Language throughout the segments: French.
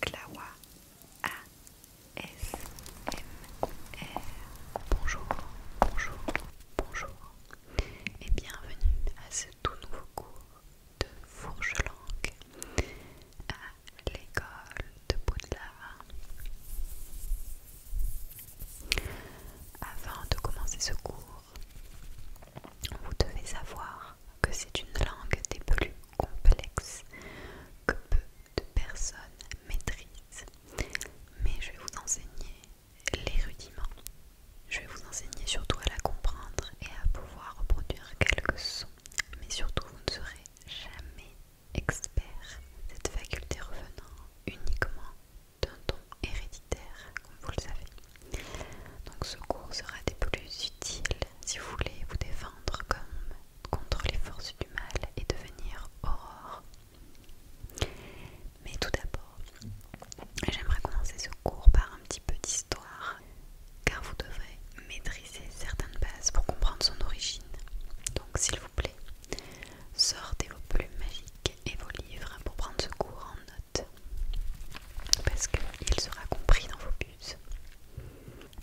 Klawa R Bonjour, bonjour, bonjour et bienvenue à ce tout nouveau cours de fourche-langue à l'école de Baudelaire. Avant de commencer ce cours, vous devez savoir que c'est une langue des complexe que peu de personnes maîtrisent. Mais je vais vous enseigner les rudiments. Je vais vous enseigner surtout à la comprendre et à pouvoir reproduire quelques sons. Mais surtout, vous ne serez jamais expert. Cette faculté revenant uniquement d'un don héréditaire, comme vous le savez. Donc ce cours sera des plus utiles si vous voulez vous défendre comme contre les forces du mal et devenir aurore. Mais tout d'abord, j'aimerais commencer ce cours par un petit peu d'histoire, car vous devrez maîtriser certaines bases pour comprendre son origine. Donc s'il vous plaît, sortez vos plumes magiques et vos livres pour prendre ce cours en note, parce qu'il sera compris dans vos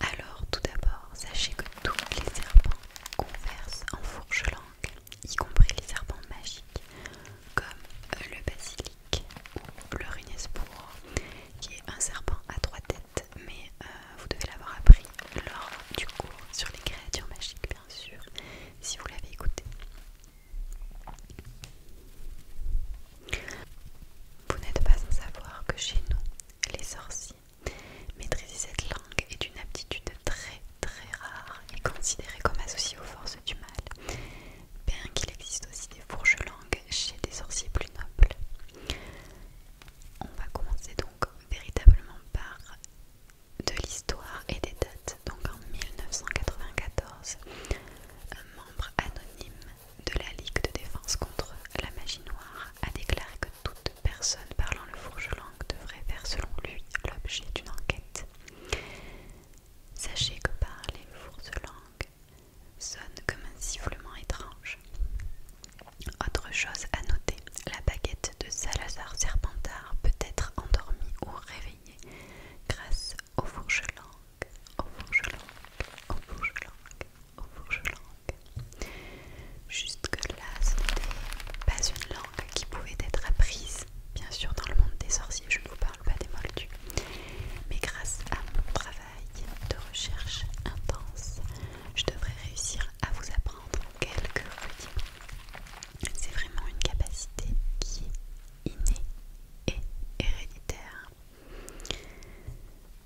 alors tout d'abord, sachez que tous les serpents conversent en fourche-langue, y compris les serpents magiques comme le basilic ou le qui est un serpent à trois têtes, mais euh, vous devez l'avoir appris lors du cours sur les créatures magiques, bien sûr, si vous l'avez écouté. Vous n'êtes pas sans savoir que chez nous, les sorciers, maîtriser cette langue est une aptitude très très rare et considérée comme associée aux forces du mal, bien qu'il existe aussi des fourches langues chez des sorciers plus nobles. On va commencer donc véritablement par de l'histoire et des dates. Donc en 1994, un membre anonyme de la Ligue de défense contre la magie noire a déclaré que toute personne parlant le fourge devrait faire selon lui l'objet d'une enquête. Sachez que parler le fourge sonne comme un sifflement étrange. Autre chose à noter, la baguette de Salazar Serpentard peut être endormie ou réveillée grâce au fourche au fourche-langue, au Vaugelangue, au Juste que là ce n'était pas une langue qui pouvait être apprise. Bien sûr, dans le monde des sorciers, je ne vous parle pas des moldus. Mais grâce à mon travail de recherche intense, je devrais réussir à vous apprendre quelques rudiments. C'est vraiment une capacité qui est innée et héréditaire.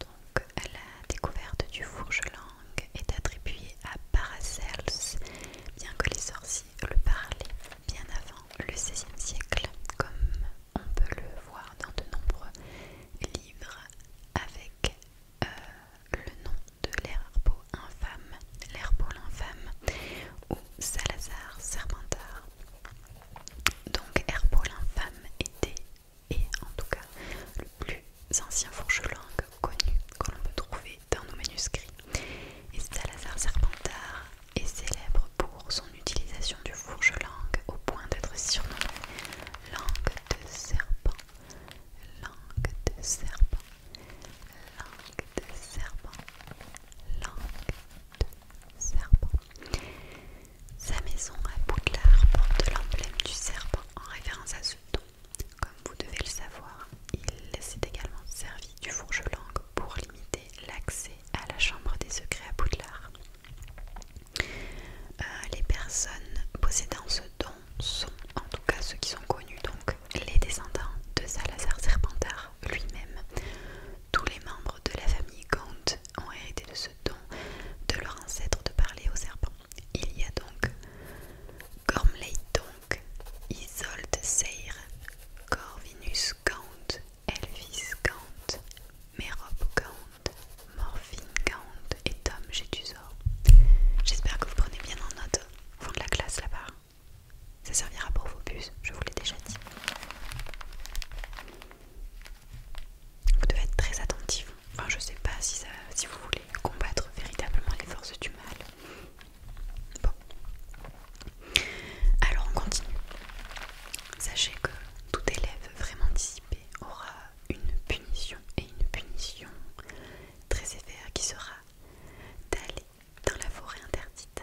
Donc, la découverte du fourgelangue est attribuée à Paracels, bien que les sorciers le parlaient bien avant le XVIe siècle, comme on peut le voir dans de nombreux livres avec euh, le nom de l'herbeau infâme, l'herbeau l'infâme ou Salazar Serpentard. Donc Herbault l'infâme était, et en tout cas, le plus ancien fourche-langue connu que l'on peut trouver dans nos manuscrits. Et Salazar Serpentard est célèbre pour son utilisation du fourche-langue au point d'être surnommé langue de serpent, langue de serpent, langue de serpent, langue de serpent. Sa maison à Boudelard porte l'emblème du serpent en référence à ce don. Comme vous devez le savoir, il s'est également servi du fourge pour limiter l'accès à la chambre des secrets à Boudelard. Euh, les personnes possédant ce don sont, en tout cas ceux qui sont connus, donc les descendants de Salazar Serpentard lui-même. Tous les membres de la famille Gaunt ont hérité de ce don de leur ancêtre de parler aux serpents. Il y a donc Gormley donc, Isolde Seyre, Corvinus Gaunt, Elvis Gaunt, Merope Gaunt, Morphine Gaunt et Tom Gétusor. J'espère que vous prenez bien en note vous de la classe là-bas. Ça servira pour vos bus, je vous l'ai déjà dit. Vous devez être très attentif. Enfin, je sais pas si, ça, si vous voulez combattre véritablement les forces du mal. Bon. Alors, on continue. Sachez que tout élève vraiment dissipé aura une punition et une punition très sévère qui sera d'aller dans la forêt interdite.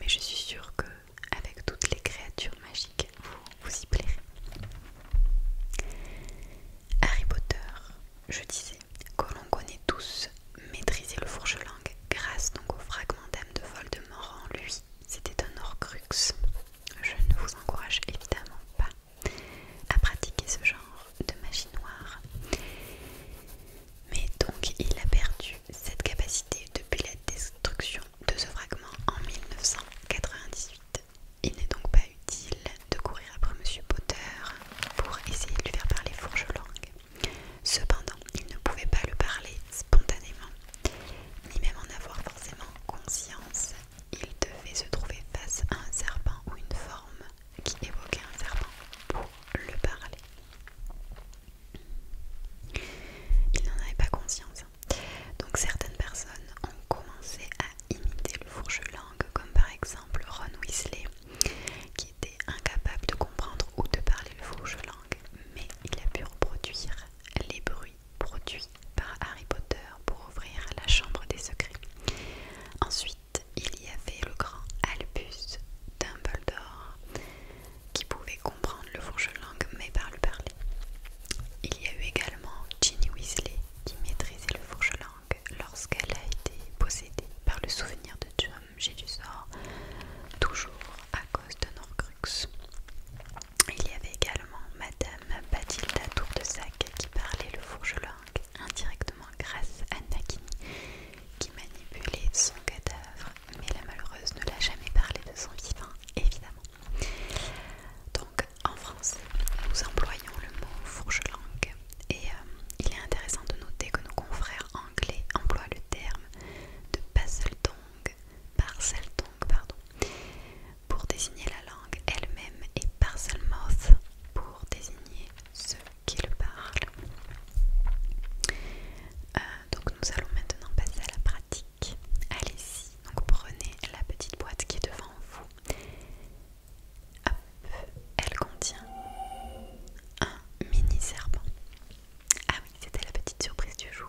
Mais je suis sûre que avec toutes les créatures magiques, vous vous y plairez. Harry Potter, je disais, que l'on connaît tous, maîtriser le fourche-langue grâce donc au fragment d'âme de Voldemort en lui. C'était un Horcrux. Je ne vous encourage évidemment pas à pratiquer ce genre de magie noire. Mais donc il a perdu cette capacité depuis la destruction de ce fragment en 1998. Il n'est donc pas utile de courir après Monsieur Potter pour essayer de lui faire parler Fourgelong. langue Cependant, il ne pouvait pas le parler spontanément, ni même en avoir forcément conscience. Il devait se trouver face à un serpent ou une forme qui évoquait un serpent pour le parler. Il n'en avait pas conscience. Donc certaines personnes ont commencé à imiter le fourche-langue, comme par exemple Ron Weasley, qui était incapable de comprendre ou de parler le fourche-langue, mais il a pu reproduire les bruits produits par Harry Potter pour ouvrir la chambre des secrets. Ensuite, il y avait le grand Albus Dumbledore qui pouvait comprendre le fourche-langue mais par le parler. Il y a eu également Ginny Weasley qui maîtrisait le fourche-langue lorsqu'elle a été possédée par le souvenir de Tom Jedusor, toujours à cause de Norcrux. Il y avait également Madame Bathilda Tour de Sac qui parlait le fourche-langue indirectement grâce à Nakini qui manipulait son cadavre, mais la malheureuse ne l'a jamais parlé de son vivant, évidemment. Donc en français, nous employons le mot fourche-langue et euh, il est intéressant de noter que nos confrères anglais emploient le terme de parcelle tongue, pardon, pour désigner la langue elle-même et parselmouth pour désigner ceux qui le parlent. Euh, donc nous allons maintenant passer à la pratique. Allez-y, donc prenez la petite boîte qui est devant vous. Hop, elle contient un mini serpent. Ah oui, c'était la petite surprise du jour.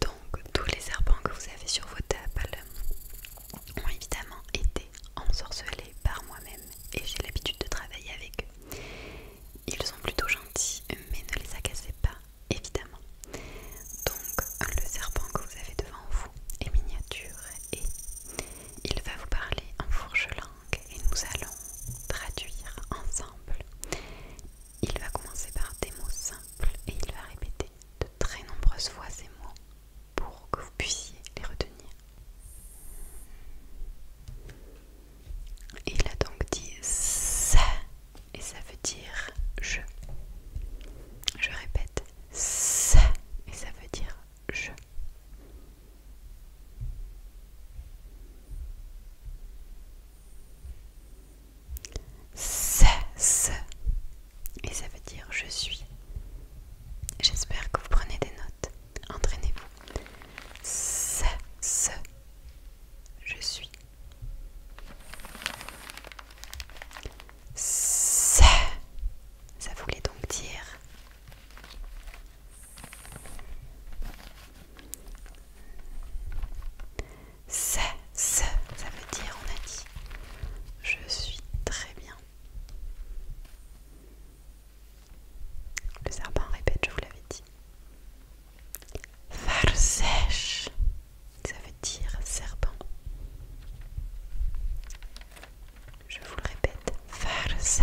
Donc tous les serpents que vous avez sur vos tables ont évidemment été ensorcelés par moi-même et j'ai l'habitude de travailler avec eux. Ils sont plutôt gentils mais ne les agacez pas évidemment. Donc le serpent que vous avez devant vous est miniature et il va vous parler en fourche-langue et nous allons traduire ensemble. Il va commencer par des mots simples et il va répéter de très nombreuses fois ces mots pour que vous puissiez les retenir. Il a donc dit ça et ça veut dire je. Je répète, et ça veut dire je. et ça veut dire je suis. J'espère que vous prenez des notes. Entraînez-vous. je suis. Ça, voulait donc dire ça, ça, ça veut dire on a dit je suis très bien. Le serpent répète, je vous l'avais dit ça veut dire serpent. Je vous le répète, ça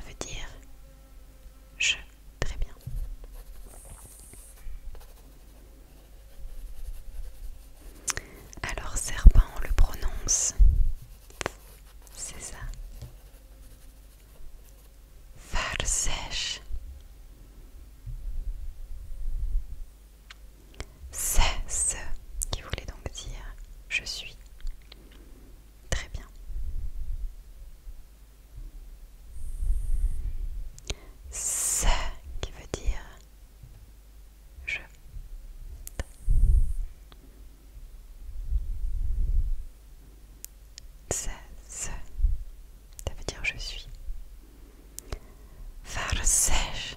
veut dire je. Très bien. Alors serpent, on le prononce c'est ça. Faire sèche. C'est ce qui voulait donc dire je suis. Très bien. C'est qui veut dire je. Ça, veut dire je suis. sèche,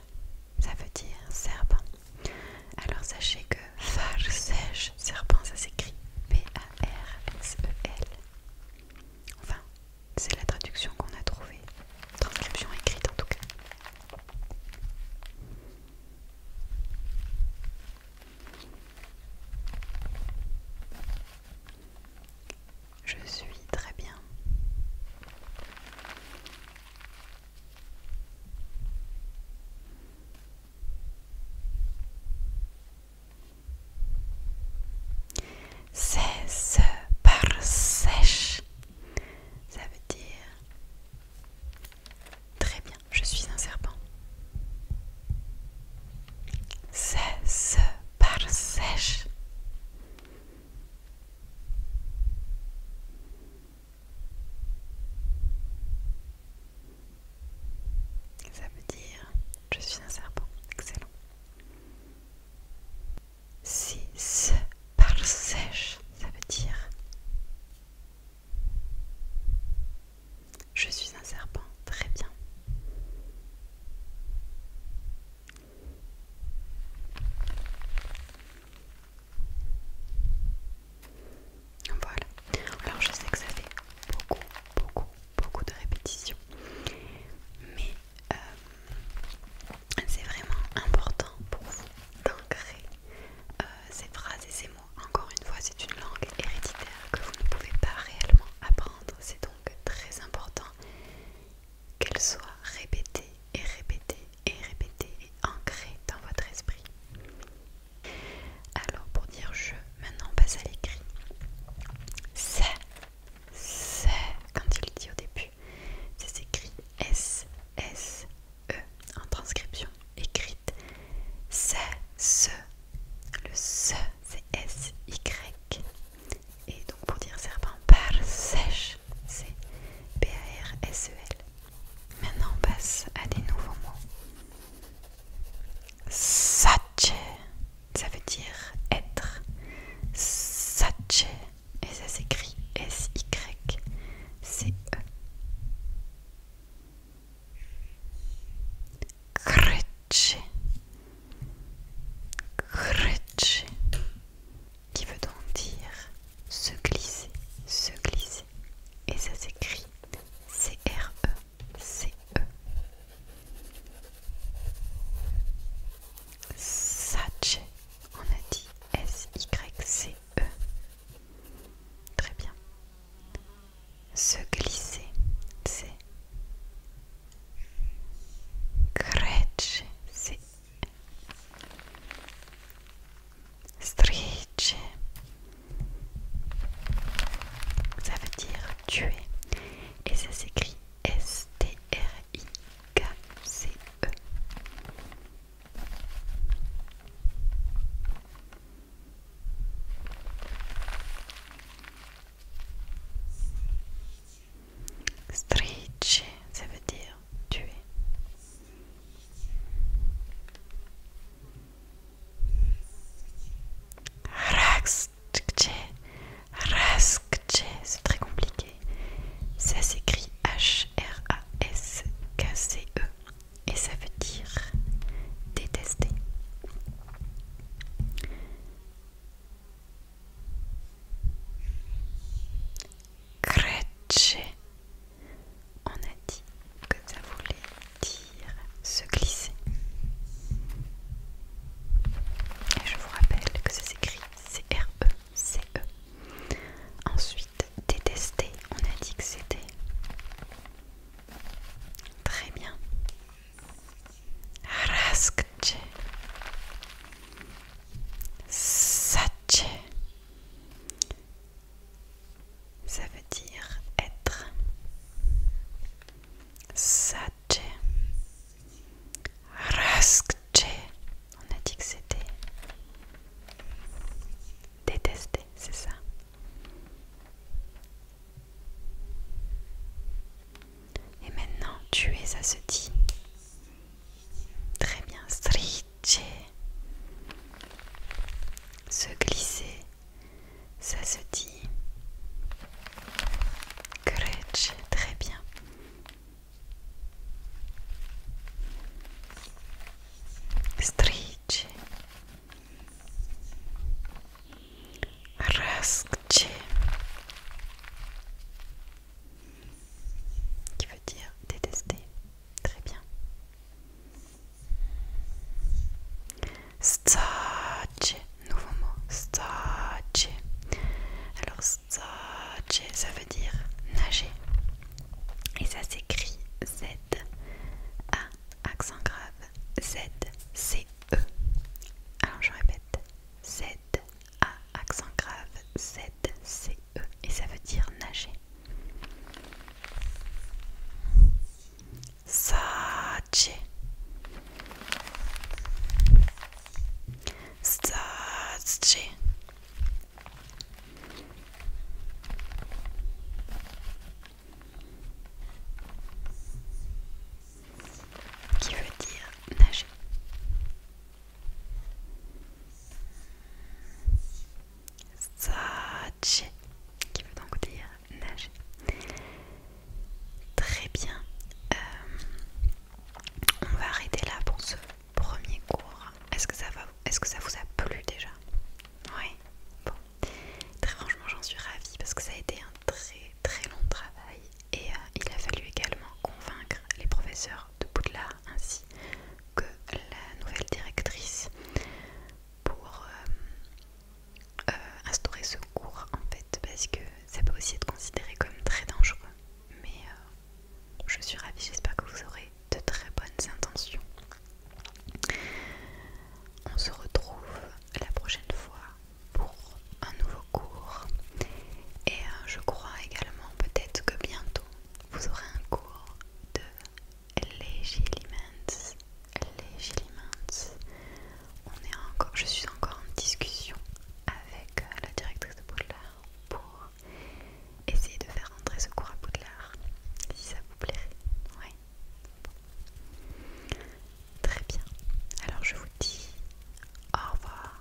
ça veut dire serpent. Alors sachez que sèche serpent, ça s'écrit P-A-R-S-E-L. Enfin, c'est la traduction qu'on a trouvée. Transcription écrite en tout cas. Je suis très bien. C'est par sèche. Ça veut dire Très bien, je suis un serpent. C'est par sèche. Ça veut dire je suis un serpent. Excellent. 6 par sèche, ça veut dire je suis un serpent, très bien. Voilà. Alors je sais que ça fait beaucoup, beaucoup, beaucoup de répétitions. Mais euh, c'est vraiment important pour vous d'ancrer euh, ces phrases et ces mots. Encore une fois, c'est une langue héréditaire que vous ne pouvez pas réellement apprendre. C'est donc très important qu'elle soit répétée et répétée et répétée et ancrée dans votre esprit. Alors pour dire je, maintenant on passe à l'écrit. C'est, c'est, quand il dit au début, c'est ça s'écrit S S E en transcription écrite C-S-E le S c'est S Y et donc pour dire serpent par sèche c'est P A R S E L maintenant on passe à des nouveaux mots Sache ça veut dire être Sache et ça s'écrit S-Y-C-E. Krejci. Krejci. Qui veut donc dire se glisser, se glisser. Et ça s'écrit C-R-E-C-E. -E. e. On a dit S-Y-C-E. Très bien. Se glisser, c'est. creche c'est. Stricher. Ça veut dire tuer. Et ça s'écrit S-T-R. E i c e Striche, ça veut dire tuer. Rax, Raskje, c'est très compliqué. Ça s'écrit H-R-A-S-K-C-E et ça veut dire détester. on a dit que ça voulait dire se glisser. Et je vous rappelle que ça s'écrit c r e e Ensuite, détester, on a dit que c'était. Très bien. Raskche. Sache. Ça veut dire être. Raskche. On a dit que c'était Détester, c'est ça. Et maintenant, tuer, ça se dit. Très bien. stricher. Se glisser, ça se dit. Gretsch, très bien. Strisce, qui veut dire détester. Très bien. STACHE nouveau mot Stace. Alors stace, ça veut dire nager. Et ça s'écrit Z A accent grave Z C E. Alors je répète Z A accent grave Z C E et ça veut dire nager. Staci. Qui veut dire nager. Ça, qui veut donc dire nager. Très bien. Euh, on va arrêter là pour ce premier cours. Est-ce que ça va Est-ce que ça vous a plu déjà Oui. Bon. Très franchement, j'en suis ravie parce que ça a été un très très long travail et euh, il a fallu également convaincre les professeurs de Bouddha ainsi que la nouvelle directrice pour euh, euh, instaurer ce cours en fait parce que ça peut aussi être considéré comme très dangereux. Mais euh, je suis ravie, j'espère que vous aurez de très bonnes intentions. On se retrouve la prochaine fois pour un nouveau cours. Et euh, je crois également peut-être que bientôt vous aurez un cours de légilimens les Gillimans, on est encore, je suis encore en discussion avec euh, la directrice de Boudelard pour essayer de faire rentrer ce cours à Boudelard si ça vous plairait. Oui. Très bien. Alors je vous dis au revoir.